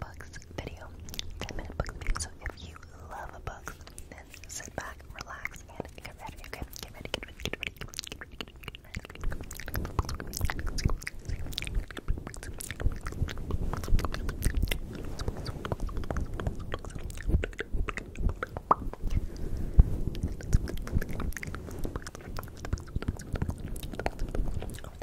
books video. 10 minute books video. So if you love a book, then sit back, relax, and get ready. get ready, get ready, get ready,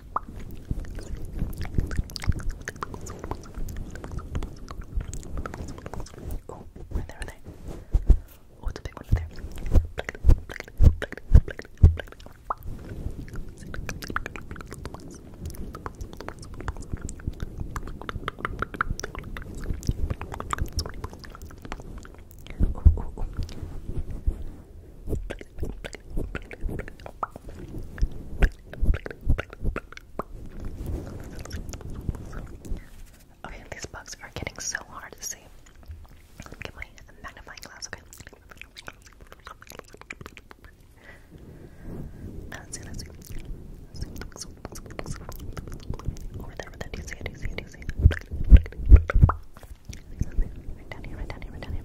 Oh, right there, right there. Oh, it's a big one right there. Oh, oh, oh. Okay, these bugs are getting so hard to see. Let me get my magnifying glass, okay? Let's see, let's see. Over there, over there. Do you see it? Do you see it? Do you see it? Right down here, right down here, right down here.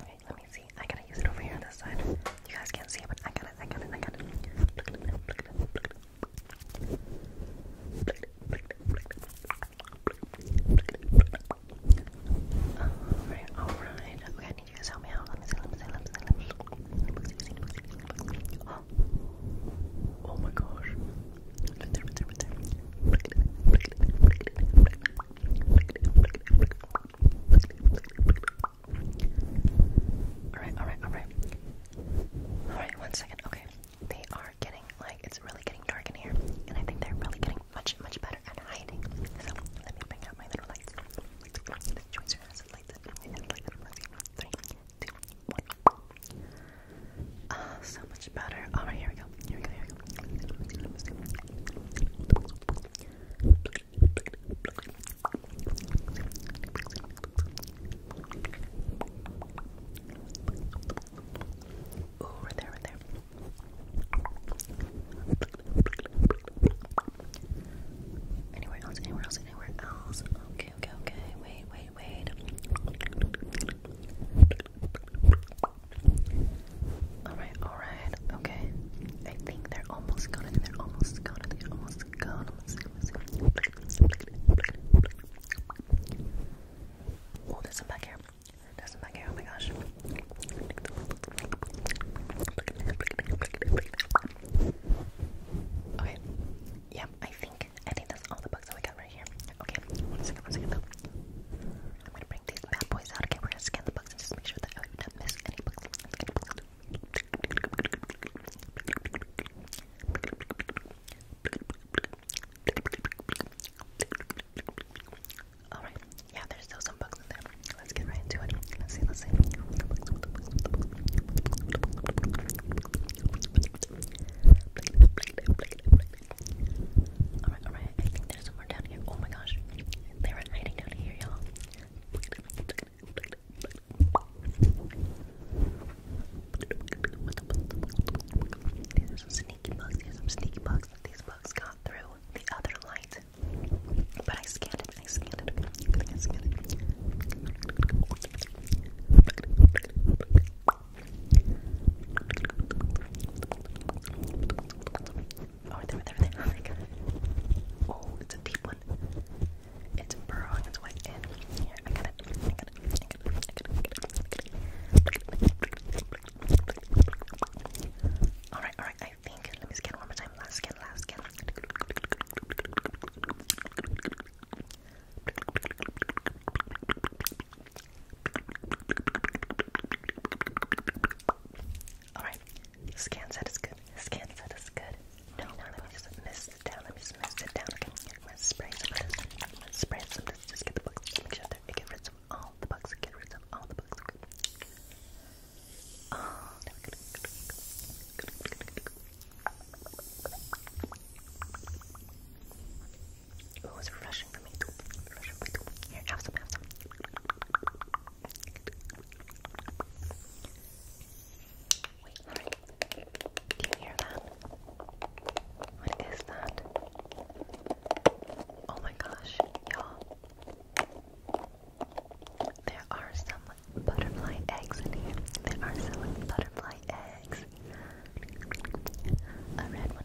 Okay, let me see. I gotta use it over here on this side. You guys can't see it, but I got it, I got it, I got it. Look at it, look Okay, I need you guys to help me out. Oh. oh. my gosh. Alright, alright, alright. Alright, one second. Okay. They are getting, like, it's really getting dark in here. And I think they're really getting much, much better at hiding. So, let me bring out my little lights. This choicer has a Three, two, one. Ah, so much better. Alright, oh, here we go. Here we go, here we go. Oh, right there, right there. Anywhere else, anywhere else, anywhere else. Okay, okay, okay. Wait, wait, wait. Alright, alright, okay. I think they're almost gone. They're almost gone. They're almost gone. Oh, there's some back here. There's some back here. Oh my gosh. Okay. yeah, I think I think that's all the bugs that we got, right? Okay, one second, one second I'm gonna bring these bad boys out. Okay, we're gonna scan the books make sure that I do Any books. Alright, yeah, there's still some books in there. Let's get right into it. Let's see, let's see. Alright, alright, there's some more down here. Oh my gosh. They were hiding down here, y'all. These some sneaky bugs. These some sneaky bugs. These bugs got through the other light. But I scanned it. I scanned it. Oh, there, there, there. Oh my god. Oh, it's a deep one. It's burrowing its way in. Here, I got it. I got it. I got it. I got it. Alright, alright. I think. Let me scan one more time. Last scan, last scan. Alright, scan set is good. Scan set is good. No, no let me just mist it down. Let me just mist it down. Okay, I'm gonna spray some of this. I'm gonna spray some of this. Just get the bugs. Make sure that get rid of all the bugs. Get rid of all the bugs. Okay. Oh, there we go. Good, good, good, good, good. It was refreshing for me too. Here, have some, have some. Wait, sorry. Do you hear that? What is that? Oh my gosh, y'all. There are some butterfly eggs in here. There are some butterfly eggs. A red one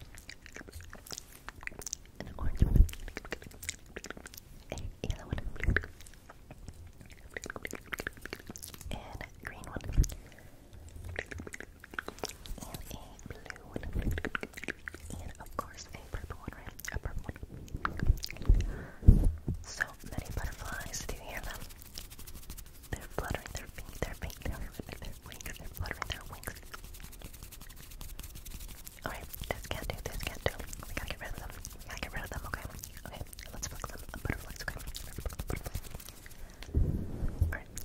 an orange one, a yellow one, and a green one, and a blue one, and of course a purple one, right? A purple one. So many butterflies. Do you hear them? They're fluttering their feet, their feet, their right there. Wings, they're their wings. Alright, can't do, this can't do. We gotta get rid of them. gotta get rid of them, okay? Okay, let's flex them. A okay? Alright. Alright, let's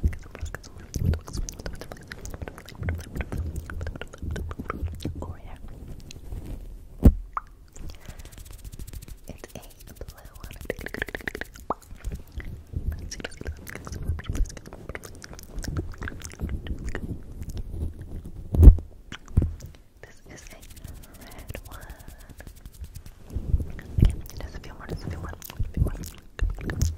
get some, let's get some, over here. It's a blue one. This is a red one. Again, just a few more, just a few more, a few more.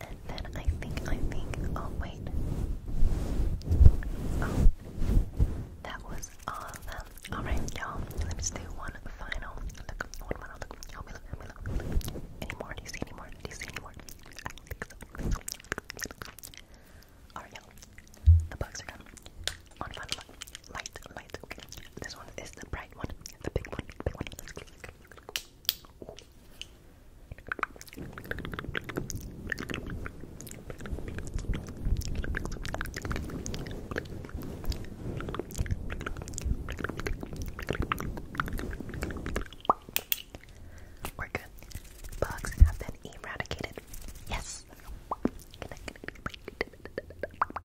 And then I think, I think, oh wait. Oh, that was all of them. Alright, y'all, let me do one final look. One final look. Any more? Do you see any more? Do you see any more? I don't Alright, y'all, the bugs are done. On final Light, light, this one is the bright one, the big one, the big one. We're good. Bugs have been eradicated. Yes.